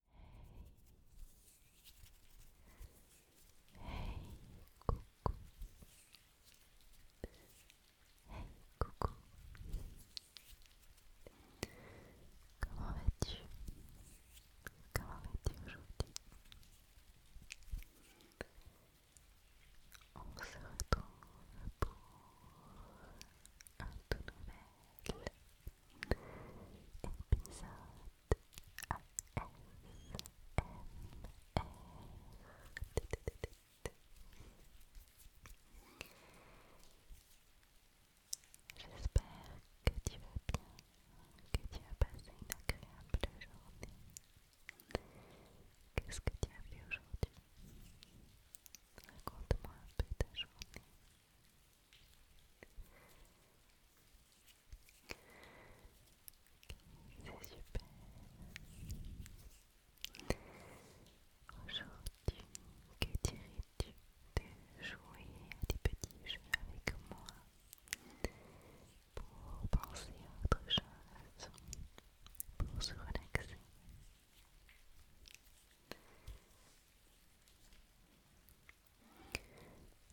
Hey coucou Hey coucou Comment vas-tu Comment vas-tu aujourd'hui On se retrouve pour un tout nouvel J'espère que tu vas bien, que tu as passé une agréable journée. Qu'est-ce que tu as vu aujourd'hui Raconte-moi un peu ta journée. C'est super. Aujourd'hui, que dirais-tu de jouer à des petits jeux avec moi pour penser à autre chose, pour se relaxer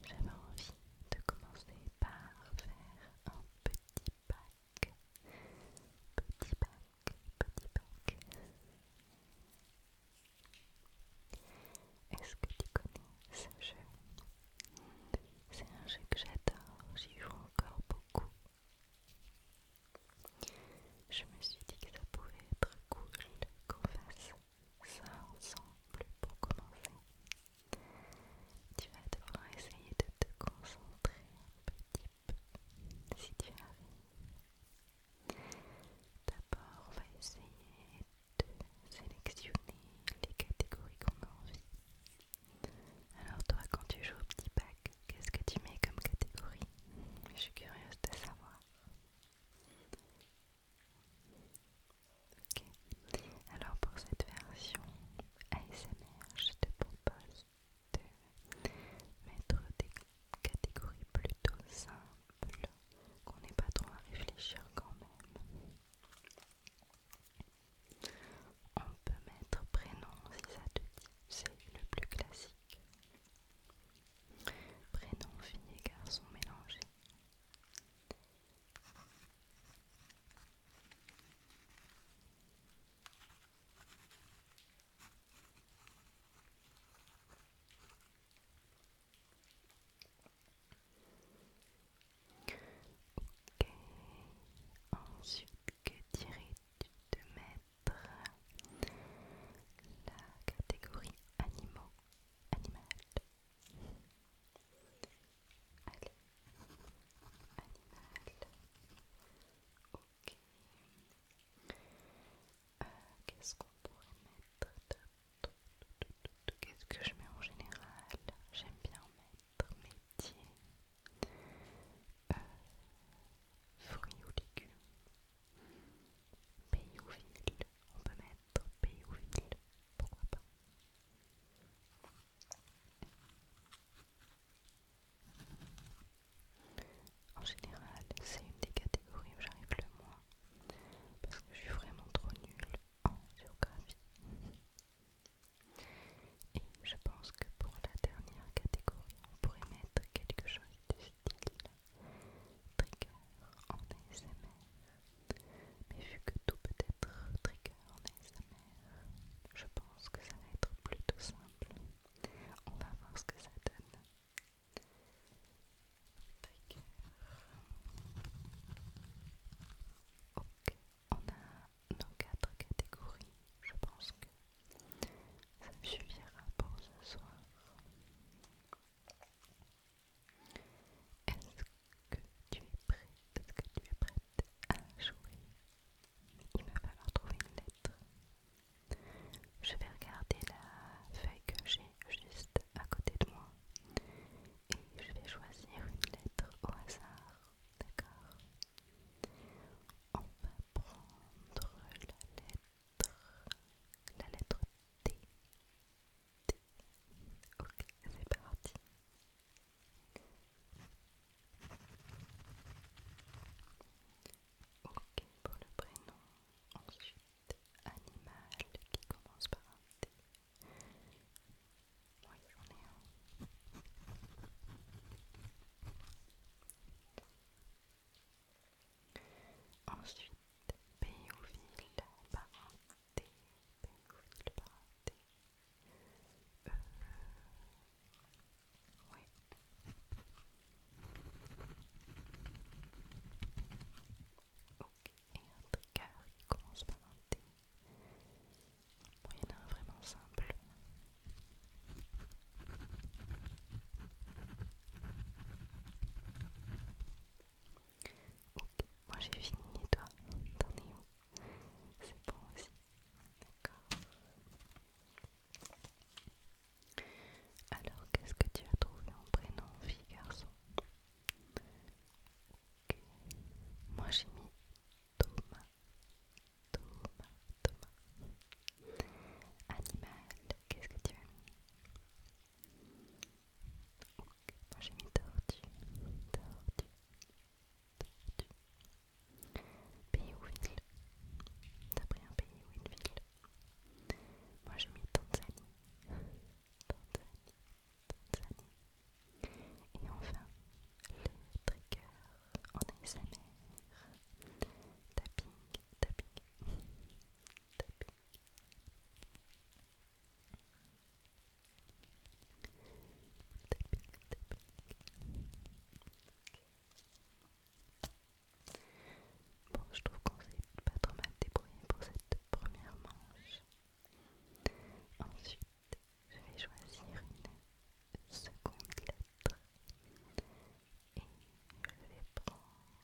j'avais envie de commencer par faire un petit pack, petit pack, petit pack. Est-ce que tu connais ce jeu C'est un jeu que j'adore, j'y joue encore beaucoup. Je me suis dit que ça pouvait être cool qu'on fasse ça plus pour commencer. Tu vas devoir essayer de te concentrer un petit peu si tu arrives. D'abord, on va essayer de sélectionner les catégories qu'on a envie. Alors toi, quand tu joues au petit pack, qu'est-ce que tu mets comme catégorie Je suis curieuse de savoir. Alors pour cette version ASMR, je te propose de mettre des catégories plutôt simples, qu'on n'ait pas trop à réfléchir quand même. On peut mettre prénom si ça te dit, c'est le plus classique. Prénom fini et garçons mélangés. Ok, ensuite que dirais-tu de mettre la catégorie animaux, animal. Allez, animal. Ok. Euh, qu'est-ce qu'on pourrait mettre Qu'est-ce que je mets en général J'aime bien mettre métier, euh, fruits ou légumes. Pays ou ville, on peut mettre pays ou ville, pourquoi pas. En général, c'est une des catégories où j'arrive le moins parce que je suis vraiment trop nulle en géographie. Et je pense que pour la dernière catégorie, on pourrait mettre quelque chose de style trigger en ASMR. Mais vu que tout peut être trigger en ASMR, je pense que ça va être plutôt simple. On va voir ce que ça donne. Trigger. Ok, on a nos quatre catégories. Je pense que ça me suffira pour ce soir. Est-ce que tu es prête Est-ce que tu es prête à jouer Il va falloir trouver une lettre. Je vais regarder la feuille que j'ai juste à côté de moi et je vais choisir une lettre au hasard. D'accord On va prendre la lettre la lettre T. T. Ok, c'est parti. Ok pour le prénom. Ensuite, animal qui commence par un T. Oui, j'en ai un. Ensuite, Ville parenté, Béoville parenté. Euh, oui. Ok, et un qui commence par un T. il y en a un vraiment simple. Ok, moi j'ai fini, toi, t'en es où C'est bon aussi, d'accord. Alors, qu'est-ce que tu as trouvé en prénom, fille, garçon Ok, Moi j'ai mis Thomas, Thomas, Thomas. Animal, qu'est-ce que tu as mis Moi j'ai mis tortue, tortue, tortue. Pays ou ville T'as pris un pays ou une ville Moi j'ai mis Tanzanie, Tanzanie, Tanzanie. Et enfin, le trigger en ASMR. Tapping, tapping. Bon, je trouve qu'on s'est pas trop mal débrouillé pour cette première manche. Ensuite, je vais choisir une seconde lettre et je vais prendre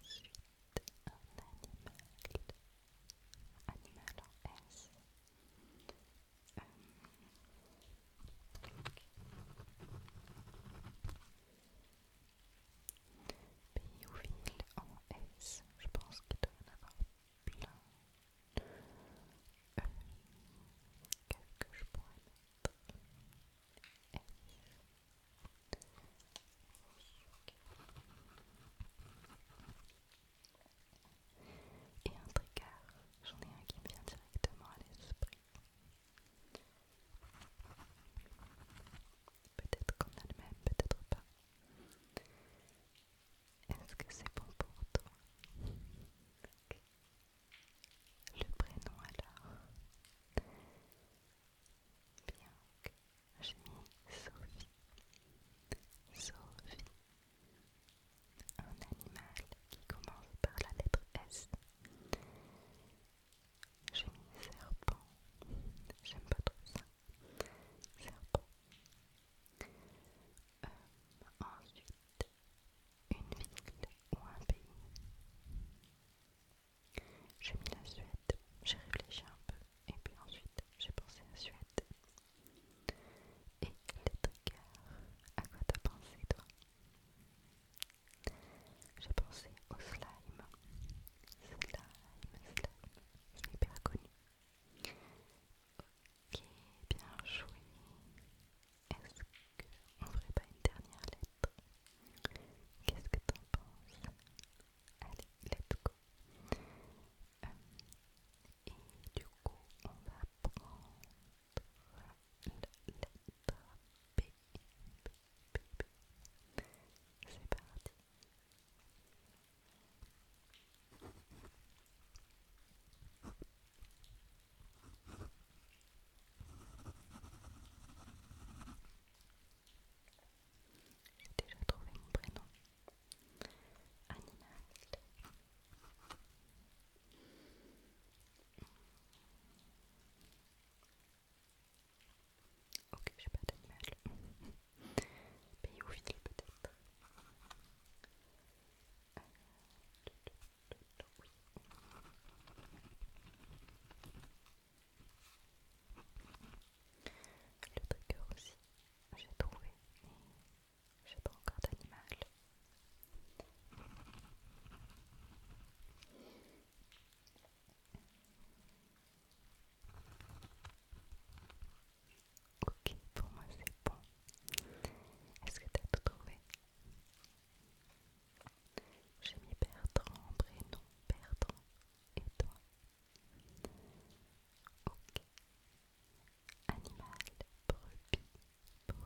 Ensuite, un animal, animal en S. en S, je pense qu'il doit en avoir plein. Euh, Quelque chose et un tricard, j'en ai un qui me vient directement à l'esprit. Peut-être qu'on a le même, peut-être pas. Est-ce que c'est bon pour toi Le prénom alors Bien. j'ai mis Sophie. Sophie. Un animal qui commence par la lettre S. J'ai mis serpent. J'aime pas trop ça. Serpent. ensuite, une ville ou un pays. J'ai mis la Suède, j'ai réfléchi un peu, et puis ensuite j'ai pensé à Suède. Et les triggers, à quoi t'as pensé toi J'ai pensé au slime. Slime, slime, c'est hyper connu. Ok, bien joué. On ferait pas une dernière lettre Qu'est-ce que t'en penses Allez, let's go euh, Et du coup, on va prendre la lettre B. C'est parti. J'ai déjà trouvé mon prénom. Animal. Ok, j'ai pas d'animal. Pays peut-être. Euh, le trigger aussi, j'ai trouvé, mais j'ai pas encore d'animal. Ok, pour moi c'est bon. Est-ce que t'as tout trouvé j'ai mis Bertrand, prénom Bertrand et toi. Ok. Animal, brebis, brebis,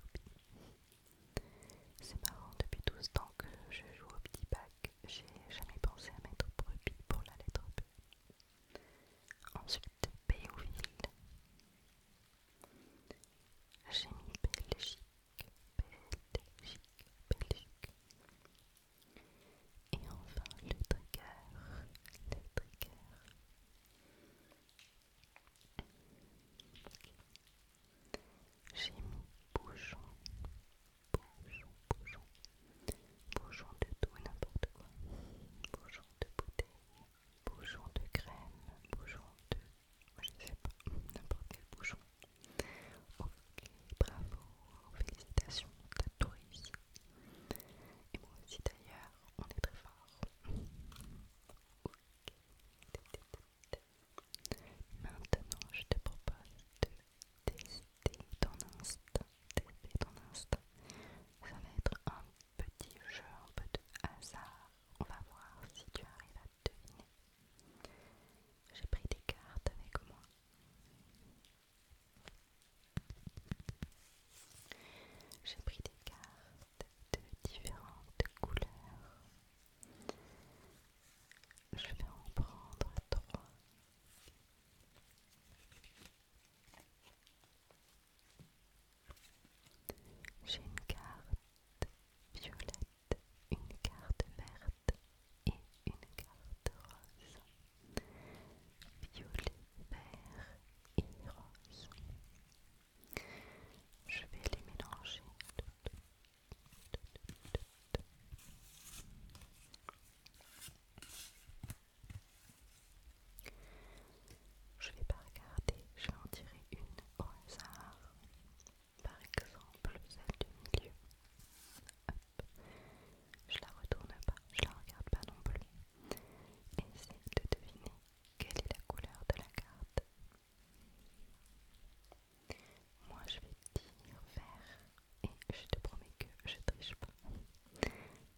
brebis. C'est marrant, depuis tout ce temps que je joue au petit bac, j'ai jamais pensé à mettre brebis pour la lettre B. Ensuite, ou ville J'ai mis Belgique. Belgique, Belgique. Et enfin le trigger, le trigger. J'ai mis bouchon, bouchon, bouchon, de tout et n'importe quoi, bouchon de bouteille, bouchon de graines, bouchon de je sais pas, n'importe quel bouchon. Ok, bravo, félicitations, t'as tout réussi. Et moi aussi d'ailleurs, on est très fort. Ok. Maintenant, je te propose de tester ton instinct. Tester ton instinct. Ça va être un petit jeu, un peu de hasard. On va voir si tu arrives à j'ai pris des cartes avec moi. J'ai pris des cartes de différentes couleurs. Je vais en prendre trois. J'ai une carte violette une carte verte et une carte rose. Violet, vert et rose. Je vais les mélanger. Je vais pas regarder, je vais en tirer une au hasard par exemple celle du milieu. Je la retourne pas, je la regarde pas non plus. Essaye de deviner quelle est la couleur de la carte. Moi je vais dire vert et je te promets que je triche pas.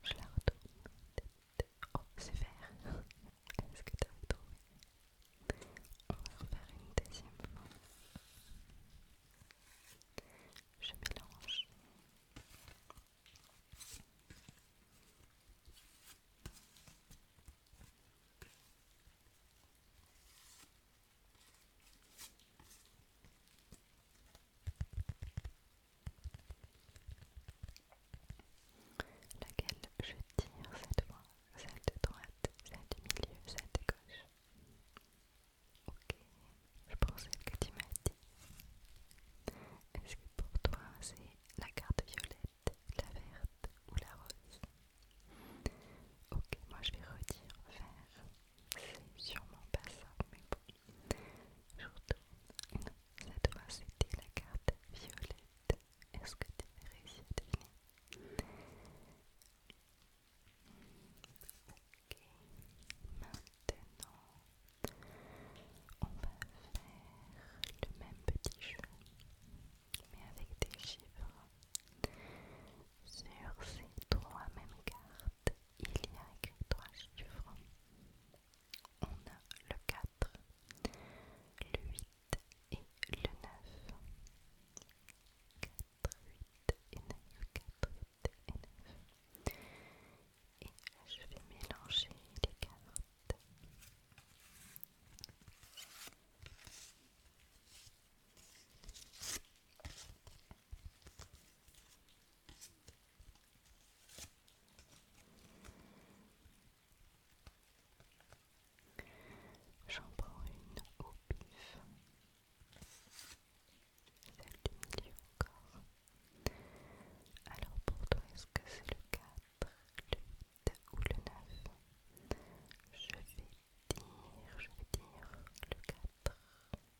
Je la retourne. Oh, c'est vert. Est-ce que tu as trouvé on va refaire une deuxième fois. Je mélange. Laquelle je tire cette fois celle de droite, celle du milieu, celle de gauche. Ok, je celle que tu m'as dit. Est-ce que pour toi c'est la carte violette, la verte ou la rose Ok, moi je vais redire vert. C'est sûrement pas ça, mais bon. Je retourne. Non, cette fois c'était la carte violette. Est-ce que tu as réussi à Ok, maintenant on va faire le même petit jeu, mais avec des chiffres. Sur ces trois mêmes cartes, il y a écrit trois chiffres. On a le 4, le 8 et le 9. 4, 8 et 9, 4, 8 et 9. Et je vais mélanger les cartes. J'en prends une au pif. Celle du milieu encore. Alors pour toi, est-ce que c'est le 4, le 8 ou le 9 Je vais dire, je vais dire le 4.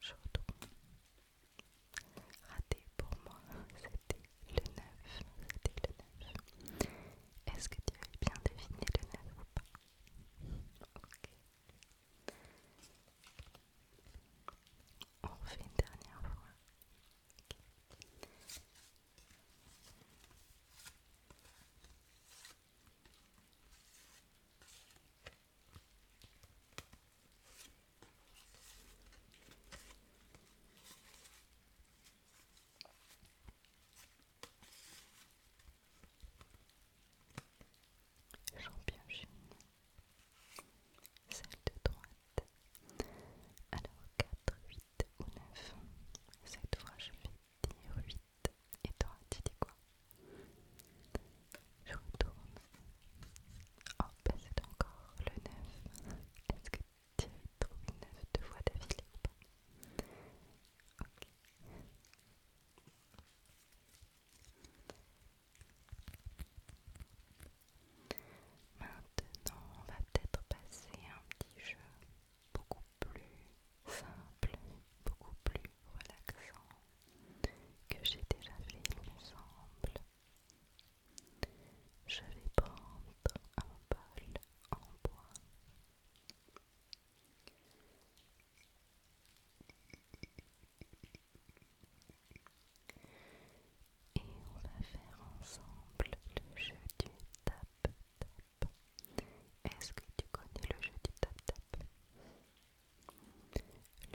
Je retourne. Raté pour moi, c'était le 9, Est-ce que tu as bien deviné le 9 ou pas On fait une dernière fois. J'en pioche une. Celle de droite. Alors 4, 8 ou 9. Cette fois je vais dire 8. Et droite, tu dis quoi Je retourne. Oh, ben, c'est encore le 9 ou pas Maintenant, on va peut-être passer à un petit jeu beaucoup plus simple, beaucoup plus relaxant que j'ai déjà fait, ensemble. me semble. Je vais prendre un bol en bois. Et on va faire ensemble le jeu du tap-tap. Est-ce que tu connais le jeu du tap-tap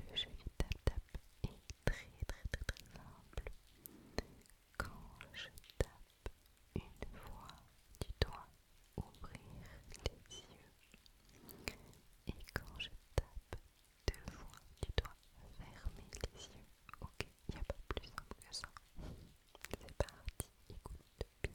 Le jeu du tap-tap est très très très très simple. Quand je tape une fois tu dois ouvrir les yeux. Et quand je tape deux fois tu dois fermer les yeux. Ok, il n'y a pas plus simple que ça. C'est parti, écoute bien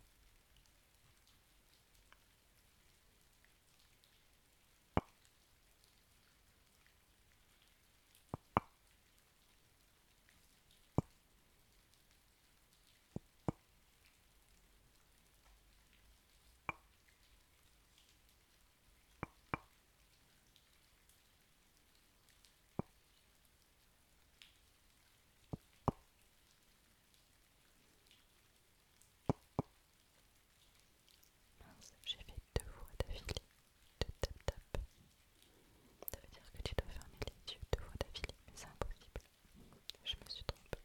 j'ai fait deux voix d'affilé ça veut dire que tu dois fermer les yeux de fois d'affilée, mais c'est impossible. Je me suis trompée.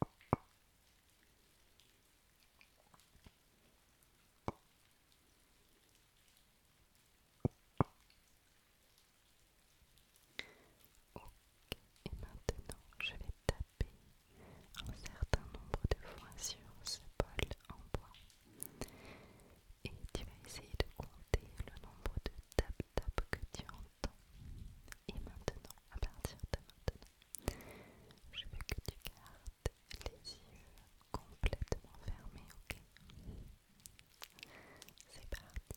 Et maintenant, je vais taper un certain nombre de fois sur ce bol en bois. Et tu vas essayer de compter le nombre de tap-tap que tu entends. Et maintenant, à partir de maintenant, je veux que tu gardes les yeux complètement fermés, ok C'est parti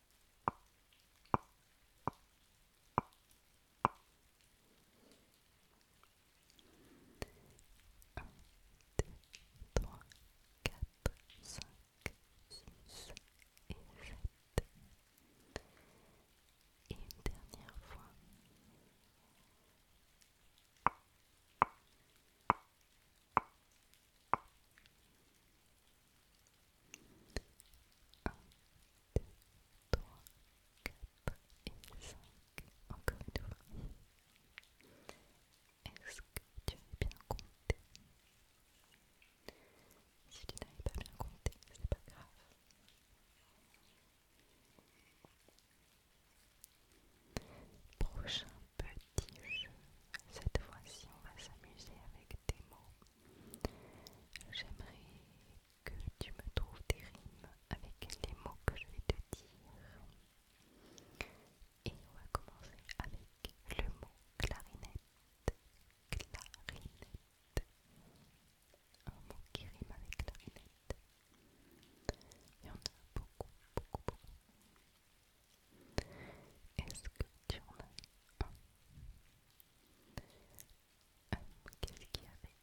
3, 4, 5, Et une dernière fois et 5, encore une fois. Est-ce que tu as bien compté Si tu n'avais pas bien compté, ce pas grave. Prochain cette fois-ci, on va s'amuser avec des mots. J'aimerais que tu me trouves des rimes avec les mots que je vais te dire. Et on va commencer avec le mot clarinette. Clarinette. Un mot qui rime avec clarinette. Il y en a beaucoup, beaucoup, beaucoup. Est-ce que tu en as un euh, Qu'est-ce qu'il y avait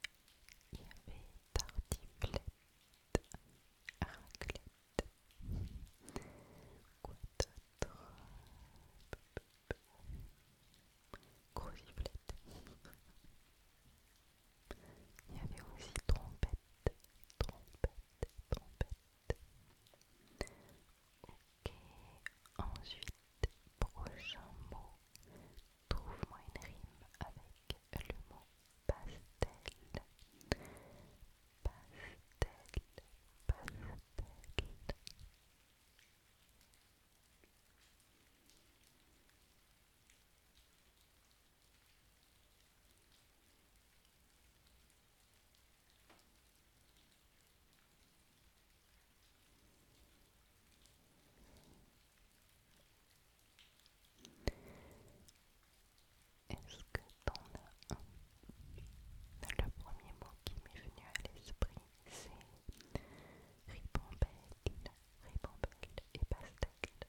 Il y avait tartiflette, Arclette. Quoi d'autre Crosiflette. Il y avait aussi trompette, trompette, trompette. Ok, ensuite, prochain mot. Trouve-moi une rime avec le mot pastel. Pastel, pastel. Est-ce que t'en as un ben, Le premier mot qui m'est venu à l'esprit, c'est ribambelle, ribambelle et pastel.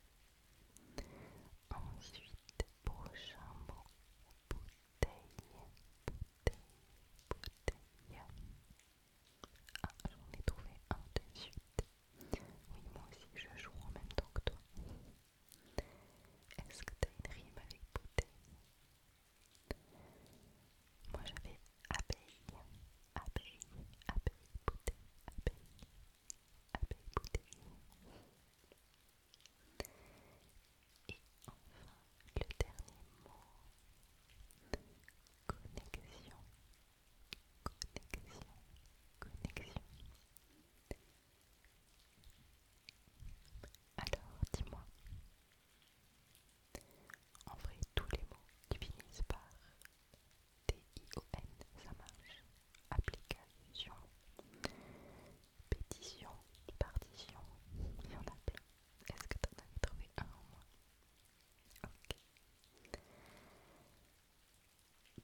Ensuite, prochain mot, bouteille, bouteille. Ah, j'en ai trouvé un de suite. Oui, moi aussi, je joue en même temps que toi. Est-ce que t'as une rime avec bouteille Moi, j'avais abeille, abeille, abeille, bouteille, abeille, abeille, bouteille. Et enfin, le dernier mot, connexion, connexion, connexion. Alors, dis-moi, en vrai, tous les mots qui finissent par T-I-O-N, ça marche. Application. Pétition, partition, il y en a plein. Est-ce que t'en as trouvé un en moins Ok.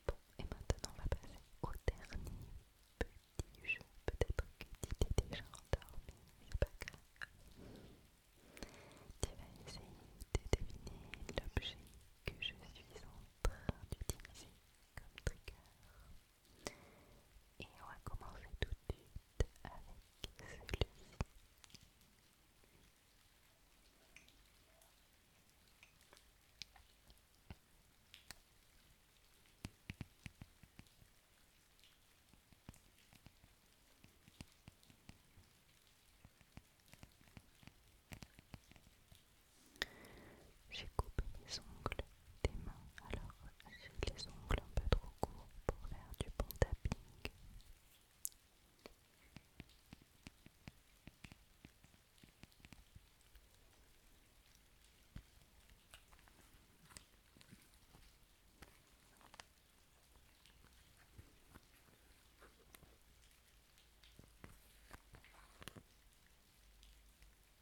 Bon, et maintenant on va passer au dernier petit jeu. Peut-être que tu t'es déjà endormi, mais pas grave. Tu vas essayer de deviner l'objet que je suis en train d'utiliser comme trigger. Et on va commencer tout de suite avec celui-ci. J'ai coupé les ongles des mains, alors j'ai les ongles un peu trop courts pour faire du bon tapping.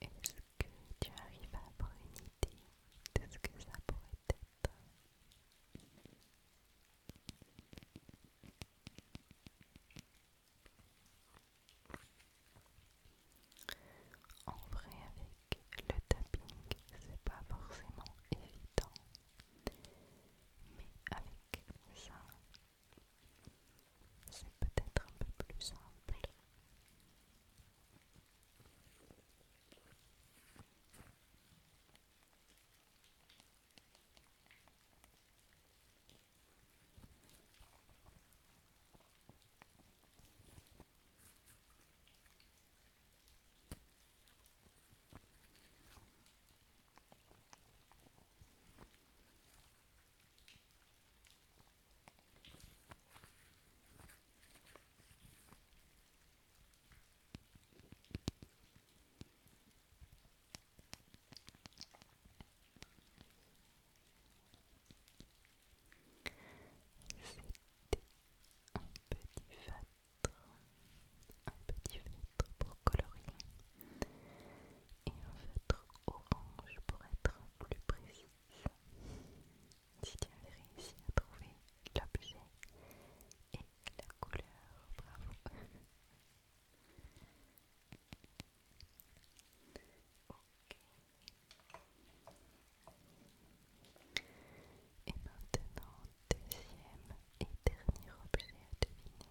Est-ce que tu arrives à avoir une idée de ce que ça pourrait être en vrai, avec le tapping, c'est pas forcément évident, mais avec ça, c'est peut-être un peu plus simple. C'était un petit fat un petit feutre pour colorier et un feutre orange pour être plus précis. Si tu avais réussi à trouver l'objet et la couleur, bravo! Ok. Et maintenant, deuxième et dernier objet à deviner.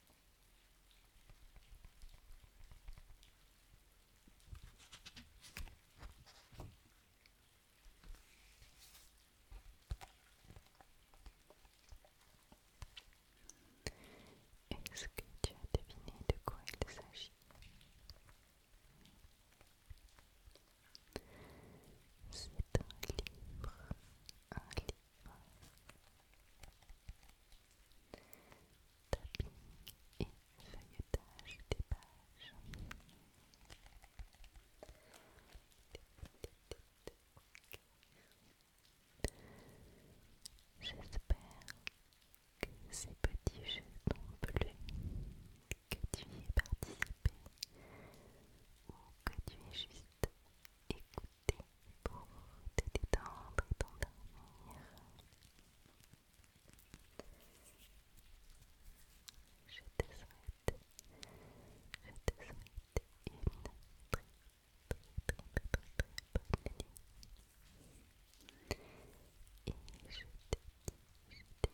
Est-ce que tu as deviné de quoi il s'agit Tapis et feuilletage des pages. J'espère que ces petits jeux bleus que tu y es participé ou que tu es juste écouté pour te détendre et t'endormir. Je te souhaite, je te souhaite une très, très, très, très, nuit. Et je te dis, je te dis